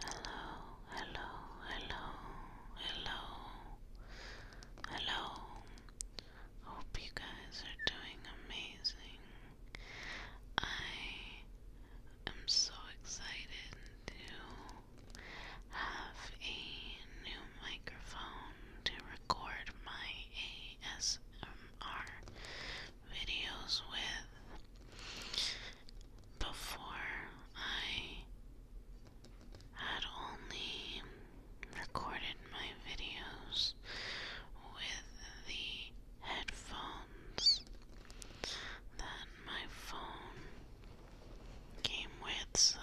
Hello, hello, hello, hello, hello. Hope you guys are doing amazing. I am so excited to have a new microphone to record my ASMR videos with before I had only recorded my videos with the headphones that my phone came with, so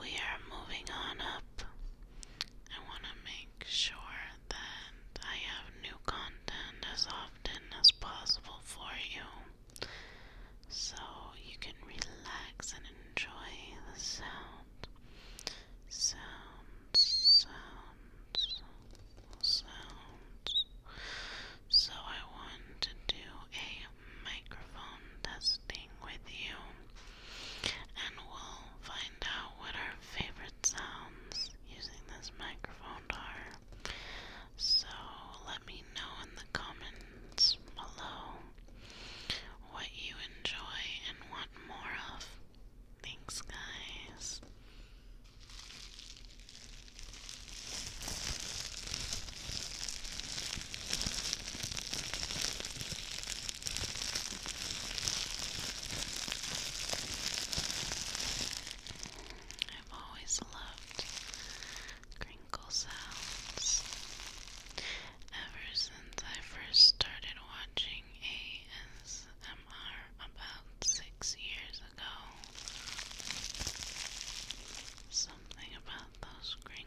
we are moving on up. I want to make make sure that I have new content as often as possible for you so you can relax and enjoy the sound. Sound, sound, sound. So I want to do a microphone testing with you and we'll find out what our favorite sounds using this microphone are. So let me know in the comments below what you enjoy and want more of. Thanks, guys. I've always loved crinkle sounds. Ever since I first started watching ASMR about six years ago, something about those crinkles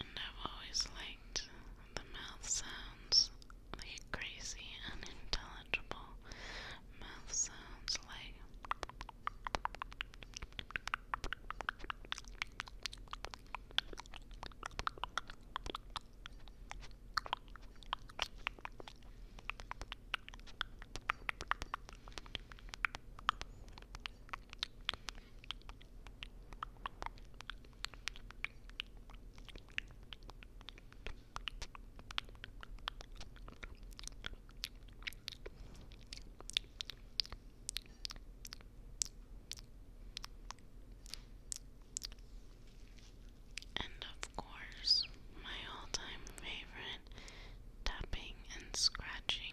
And I've always liked the mouth sounds, the crazy, unintelligible mouth sounds like. And of course, my all time favorite tapping and scratching.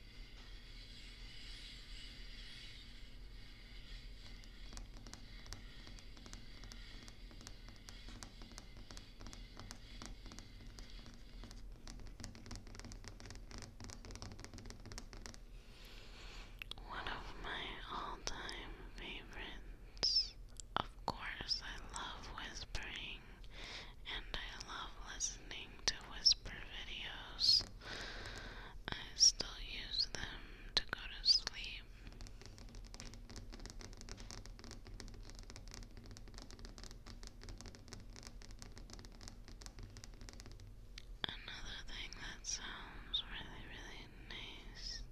One of my all time favorites. Of course, I love whispering and I love listening to whisper videos. I still use them to go to sleep. Another thing that sounds really, really nice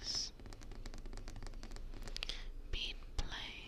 is beat play.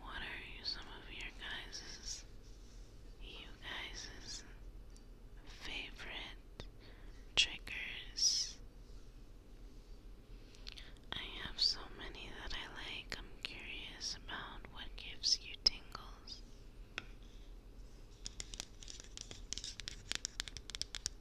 What are some of your guys's, you guys's favorite triggers? I have so many that I like. I'm curious about what gives you tingles.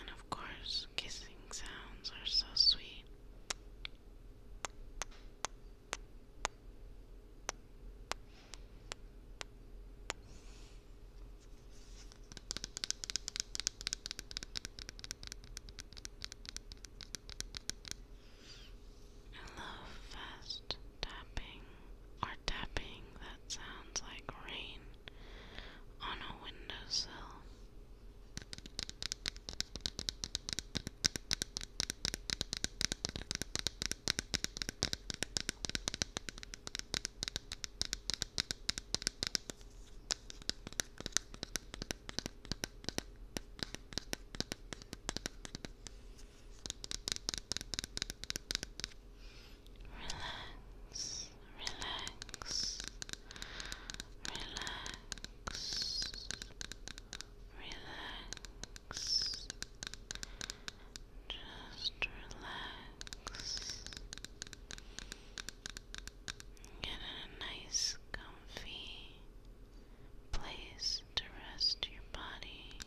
And of course, kissing sounds are so sweet. I love fast tapping or tapping that sounds like rain on a windowsill. Relax, relax, relax, relax. Just relax. Get in a nice, comfy place to rest your body.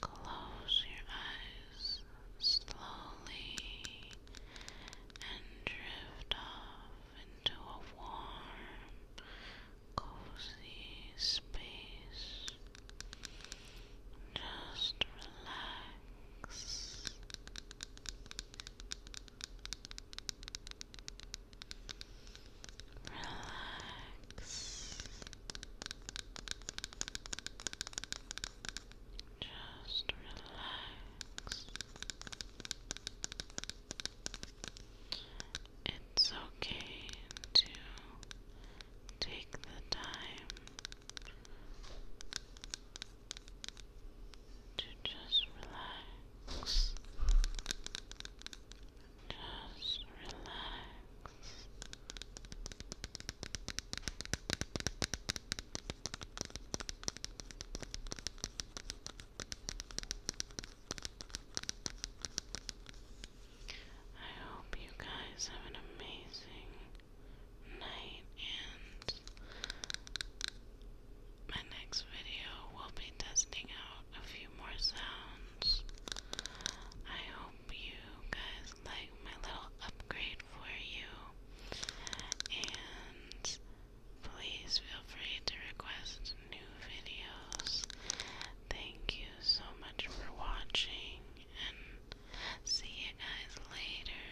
Close your eyes slowly and drift off into a warm, cozy space. Just relax. Relax. Just relax. It's okay to take the time to just relax, just relax. I hope you guys have an amazing night and my next video will be testing out a few more sounds. I hope you guys like my little upgrade for you. And please feel free to request new videos. Thank you so much for watching and see you guys later.